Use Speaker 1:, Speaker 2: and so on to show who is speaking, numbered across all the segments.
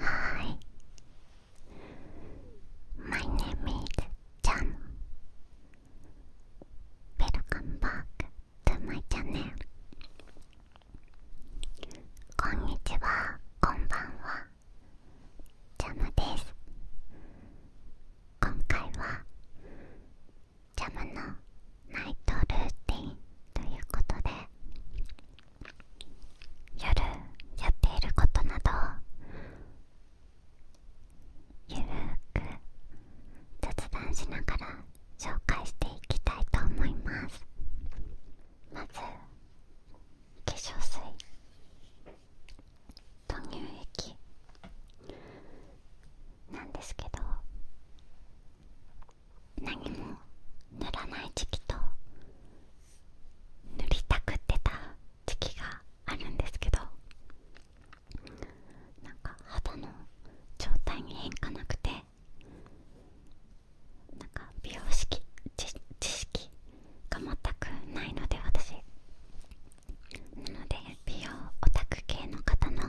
Speaker 1: Hi, my name is Chan. Welcome back t こんにちは、こんばんは。ジャムです。今回はジャムのナイトルーティンということで夜やっていることなどをゆるく雑談しながら紹介していきたいと思いますまず化粧水と乳液なんですけど何も塗らない時期と塗りたくってた時期があるんですけどなんか肌の状態に変化なくてなんか美容識知知識が全くないので私なので美容オタク系の方の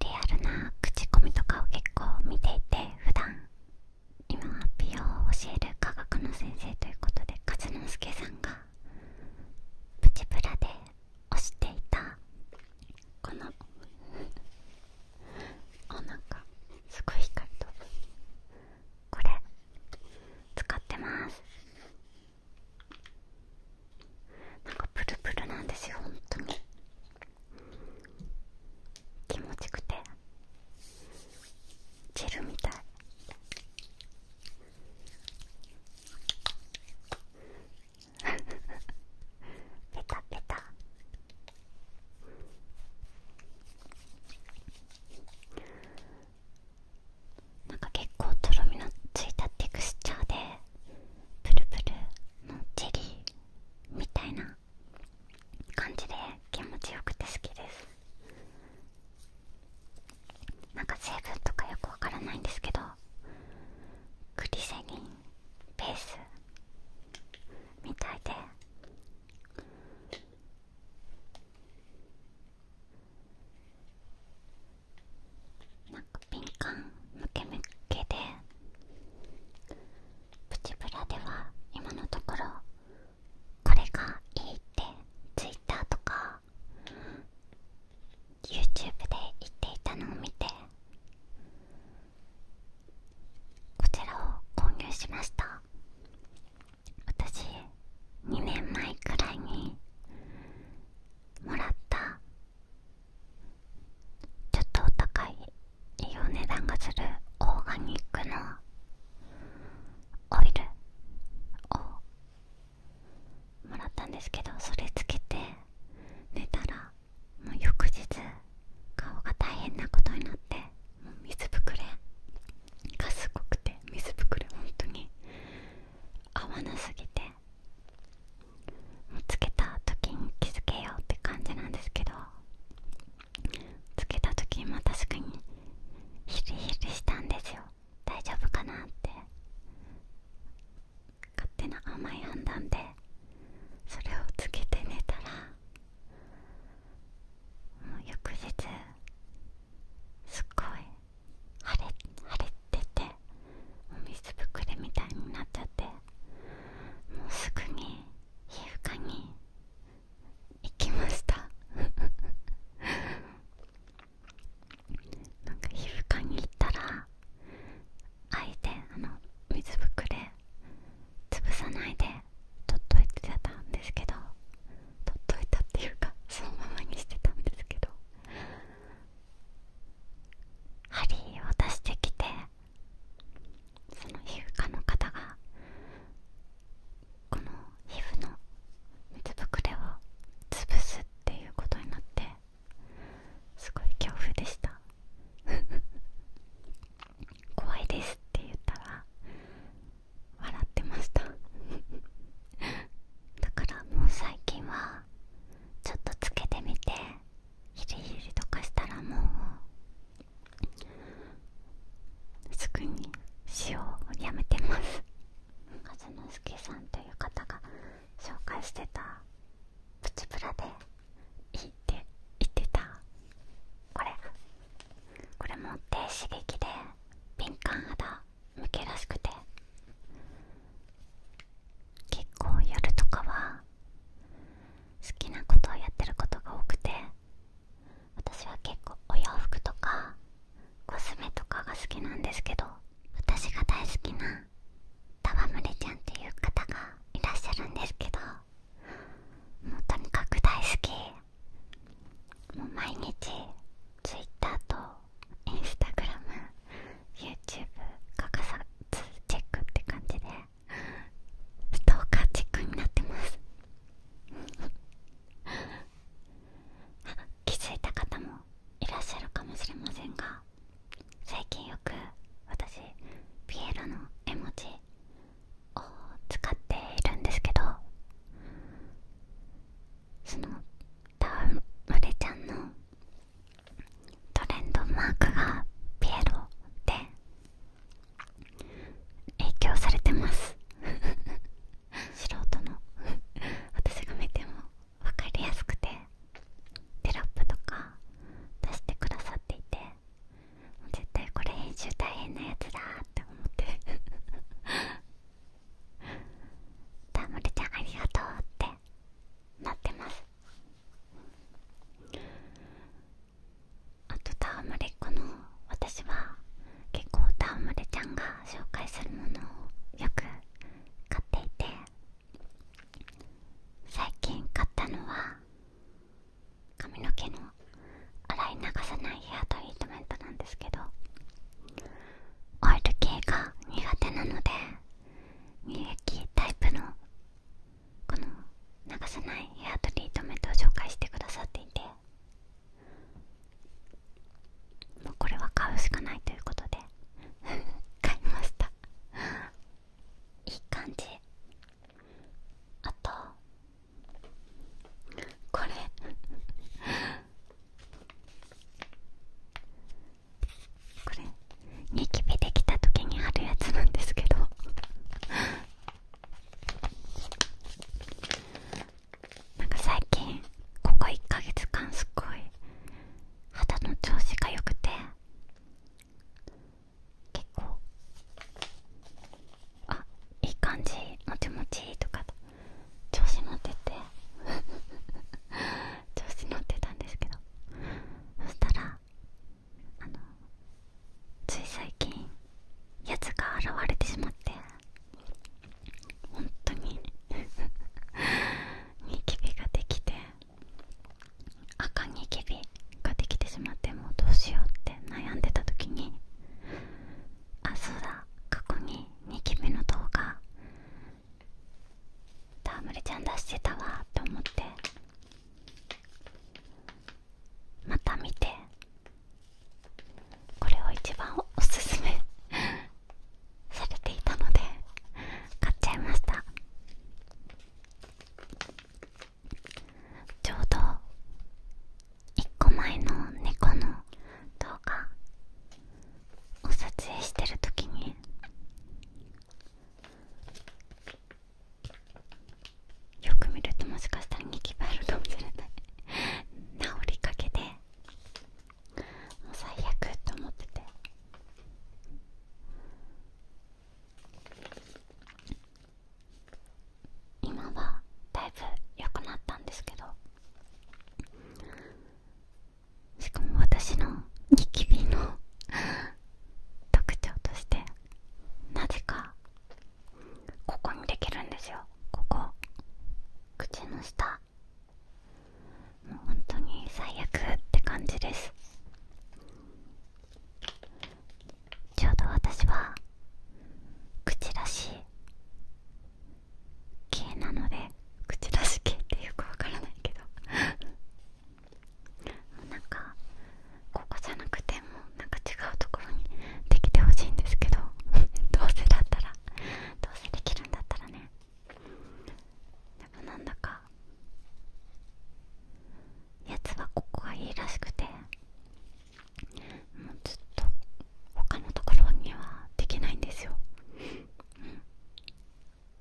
Speaker 1: リアルな口コミとかを結構見ていて普段今は美容を教える科学の先生ということで勝之助さんがプチプラで推していたこの おなかすごい光とこれ使ってますなんかプルプルなんですよ本当に気持ちくてジェルみたいペタペタなんか結構とろみのついたテクスチャーでプルプルのジェリーみたいな感じで気持ちよくて好きですなんか成分とかよくわからないんですけどクリセリンベースみたいでなんか敏感ムケムケでプチプラでは今のところこれがいいって twitter とか YouTube で言っていたのを見てこちらを購入しました私2年前くらいにもらったちょっとお高いいいお値段がするオーガニックのオイルをもらったんですけどそれつけて寝たらもう翌日顔が大変なことになってもう水ぶくれがすごくて水ぶくれ本当に合わなすぎてつけた時に気づけようって感じなんですけどつけた時も確かにヒリヒリしたんですよ大丈夫かなって勝手な甘い判断でそれをつけて寝たらもう翌日すっごい腫れ腫れててお水ぶくれみたいになっちゃってもうすぐに皮膚科に行きました なんか皮膚科に行ったらあえてあの水ぶくれ潰さないで取っといてたんですけど取っといたっていうか そのままにしてたんですけど針を出してきてその皮膚科の方がこの皮膚の水ぶくれを潰すっていうことになってすごい恐怖でした 怖いですって言ったら笑ってました だからもう最近はちょっとつけてみてヒリヒリとかしたらもうすぐに塩をやめてます風之助さんという方が紹介してたプチプラでいいって言ってたこれこれ持って刺激で敏感肌向けらしくて結構夜とかは好きなことをやってることが多くて私は結構お洋服とかコスメとかが好きなんですけど私が大好きな戯れちゃんっていう方がいらっしゃるんですけどもうとにかく大好きもう毎日 Twitter と Instagram、YouTube 欠かさずチェックって感じでストーカーチックになってます 気づいた方もいらっしゃるかもしれませんが最近よく私ピエロの絵文字を使っているんですけどそのたわマれちゃんのトレンドマークがピエロで影響されてます素人の私が見ても分かりやすくてテロップとか出してくださっていて絶対これ編集大変なやつだって思ってたまるちゃんありがとうってなってますあとタワムレっ子の私は結構タワムレちゃんが紹介するものをよく買っていて最近買ったのは髪の毛の洗い流さないヘアトリートメントなんですけどオイル系が苦手なので乳液タイプのこの流さないヘアトリートメントを紹介してくださっていてもうこれは買うしかないということで 買いましたいい感じあとこれ これニキビできた時に貼るやつなんですけどなんか最近ここ1ヶ月間すごい肌の調子が良くて結構あいい感じもちもちとか調子乗ってて 調子乗ってたんですけどそしたらあのつい最近やつが現れてしまって本当に ニキビができて赤ニキビができてしまってもうどうしようって悩んでた時にあそうだ過去にニキビの動画たむりちゃん出してたわって思ってまた見てこれを一番おすすめ されていたので買っちゃいましたちょうど1個前の猫の動画を撮影してる時によく見るともしかしたらニキビあるかもしれない治りかけでもう最悪と思ってて今はだいぶ良くなったんですけどしかも私のニキビの特徴としてなぜかここにできるんですよここ口の下もうほんとに最悪って感じですちょうど私は口出し系なので口出し系ってよくわからないけどもうなんかここじゃなくてもなんか違うところにできてほしいんですけど どうせだったらどうせできるんだったらねでもなんだかやつはここがいいらしくてもうずっと他のところにはできないんですよ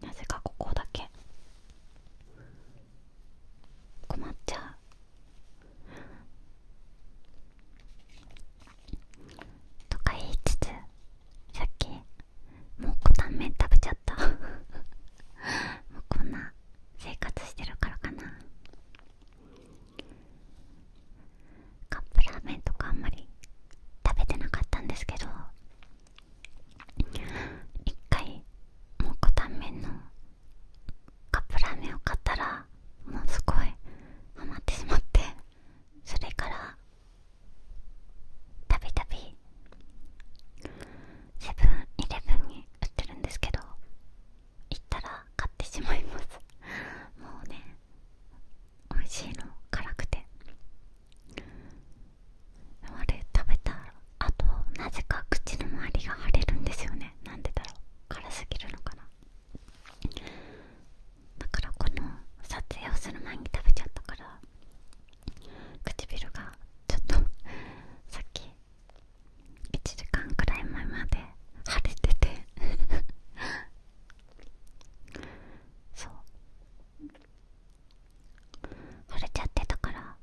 Speaker 1: なぜかここだけ困っちゃうとか言いつつさっきもうこたんめん食べちゃった もうこんな生活してるからかなカップラーメンとかあんまり食べてなかったんですけど一回蒙古タンメンのカップラーメンを買ったらものすごいハマってしまってそれからたびたびセブンイレブンに売ってるんですけど行ったら買ってしまいますもうね美味しいの辛くてあれ食べたあとなぜか口の周りが腫れるんですよねなんでだろう辛すぎるのかなだからこの撮影をする前に食べちゃったから唇がちょっと さっき1時間くらい前まで腫れててそう 触れちゃってたから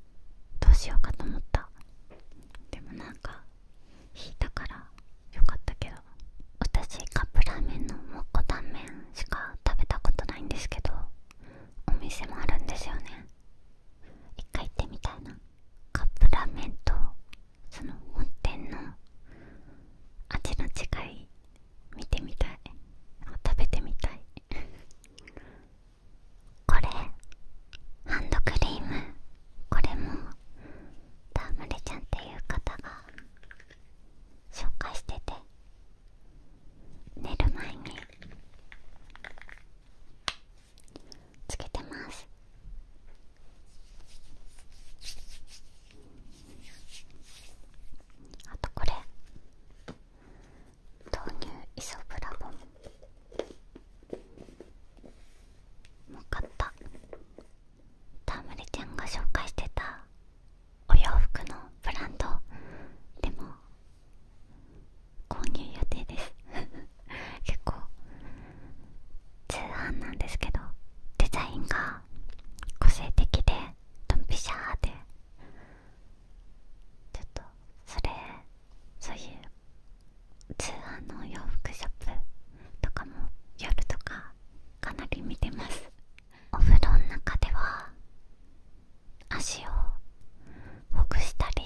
Speaker 1: どうしようかと思ったでもなんか引いたからよかったけど私カップラーメンのモコタンメンしか食べたことないんですけどお店もあるんですよね一回行ってみたいなカップラーメンとその本店の味の違い見てみたい食べてみたいこれハンドクリームこれもダムレちゃんっていう方が紹介してて寝る前につけてますあとこれ豆乳イソブラボンもう買ったたむリちゃんが紹介してたお洋服のブランドでも購入予定です 結構通販なんですけどデザインが個性的でドンピシャーでちょっとそれそういう通販の洋服ショップとかも夜とかかなり見てますお風呂の中では足をほぐしたり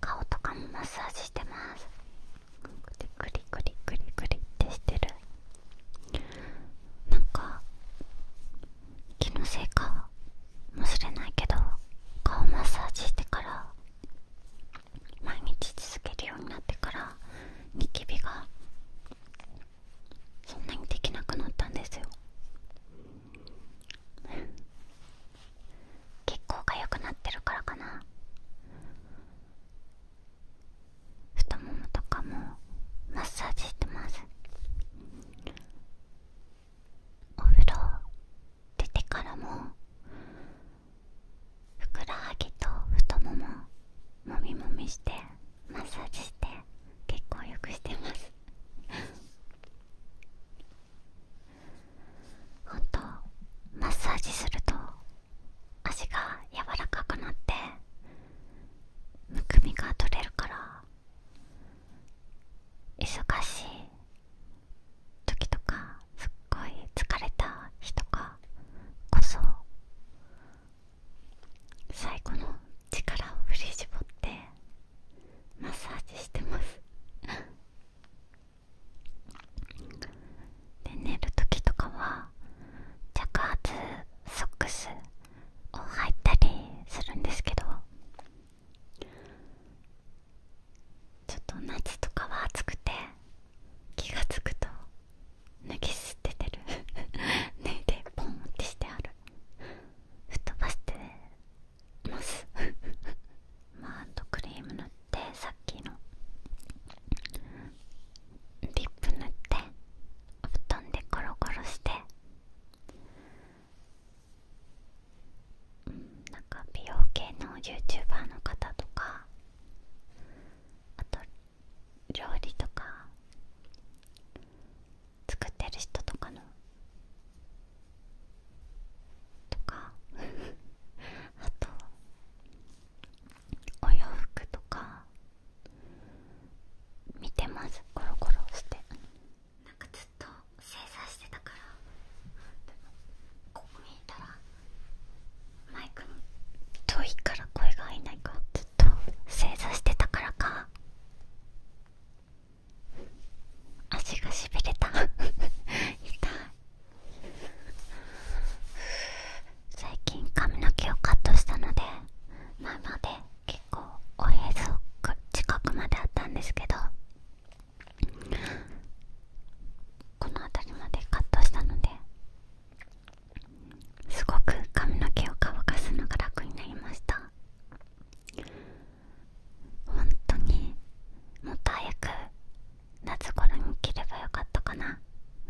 Speaker 1: 顔とかもマッサージしてますクリクリクリクリってしてるなんか気のせいかもしれないけど顔マッサージしてから毎日続けるようになってからニキビがそんなにできなくなったんですよ結構 が良くなってるからかな太ももとかもマッサージしてますお風呂出てからもふくらはぎと太もももみもみしてマッサージして結構よくしてますほんとマッサージすると足が柔らかくなってむくみが取れるから忙しい時とかすっごい疲れた日とかこそ最後の力を振り絞ってマッサージしてますで寝る時とかは着圧ソックスを履いたりするんですけどちょっと夏とかは暑くて気がつくと脱ぎ捨ててる 脱いでポンってしてある吹っ飛ばしてます マートクリーム塗ってさっきのリップ塗って布団でコロコロしてなんか美容系の YouTuber の方とかあと料理とか作ってる人とかのとか あとお洋服とか見てますコロコロしてなんかずっと正座してたからでもここ見えたらマイクに遠いから声が入んないからずっと正座してたからか足がしびれた 痛い最近髪の毛をカットしたので前まで結構おへそ近くまであったんですけどこの辺りまでカットしたのですごく髪の毛を乾かすのが楽になりました本当にもっと早く夏頃に着ればよかったかな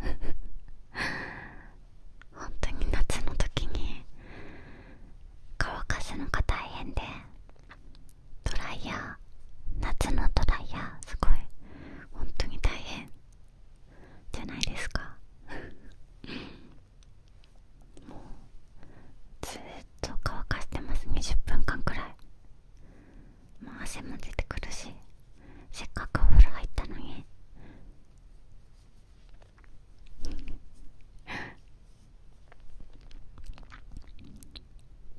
Speaker 1: 本当に夏の時に乾かすのが大変でドライヤー夏のドライヤーすごい本当に大変じゃないですか もうずっと乾かしてます20分間くらいもう汗も出てくるしせっかくお風呂入ったのに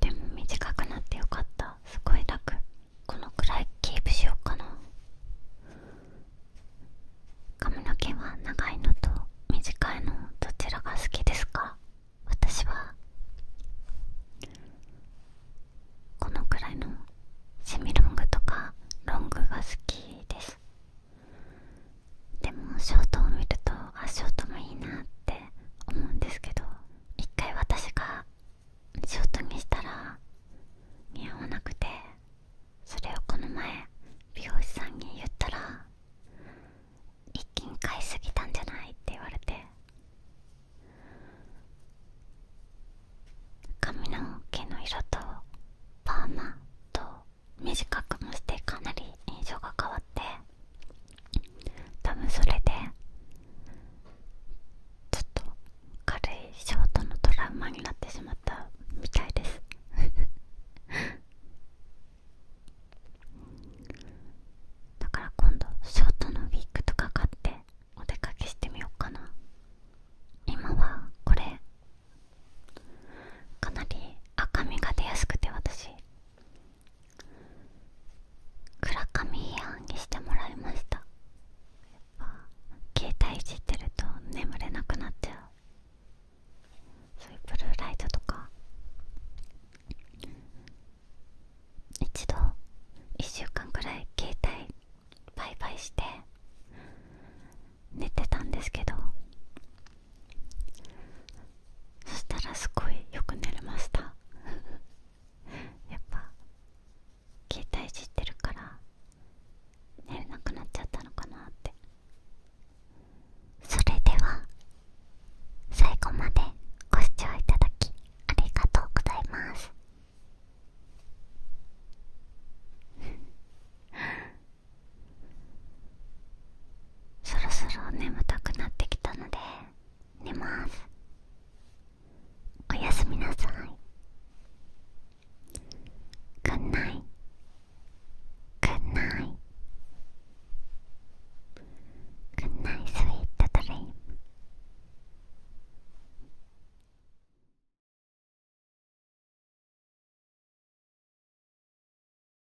Speaker 1: でも短くなってよかったすごい楽このくらいキープしようかな髪の毛は長いのと短いのどちらが好きですか私はこのくらいのシミロングとかロングが好きですでもショートを見るとあショートもいいなって思うんですけど一回私がショートにしたら似合わなくてそれをこの前美容師さんに言ったら一気に買いすぎたんじゃないって言われて髪の毛の色とパーマと短くもしてかなり印象が変わって多分それでちょっと軽いショートのトラウマになってしまったみたいです だから今度ショートのウィッグとか買ってお出かけしてみようかな今はこれかなり赤みが出やすくて私暗闇批判にしてもらいましたやっぱ携帯いじってると眠れなくなっちゃうそういうブルーライトとか一度1週間くらい携帯売買して寝てたんですけどそしたらすごいよく寝れました やっぱ携帯いじってるから寝れなくなっちゃったのかなってそれでは最後までご視聴いただきありがとうございますそろそろ眠たくなってきたので寝ますおやすみなさいくんないくんないくんないスい。ートドリーム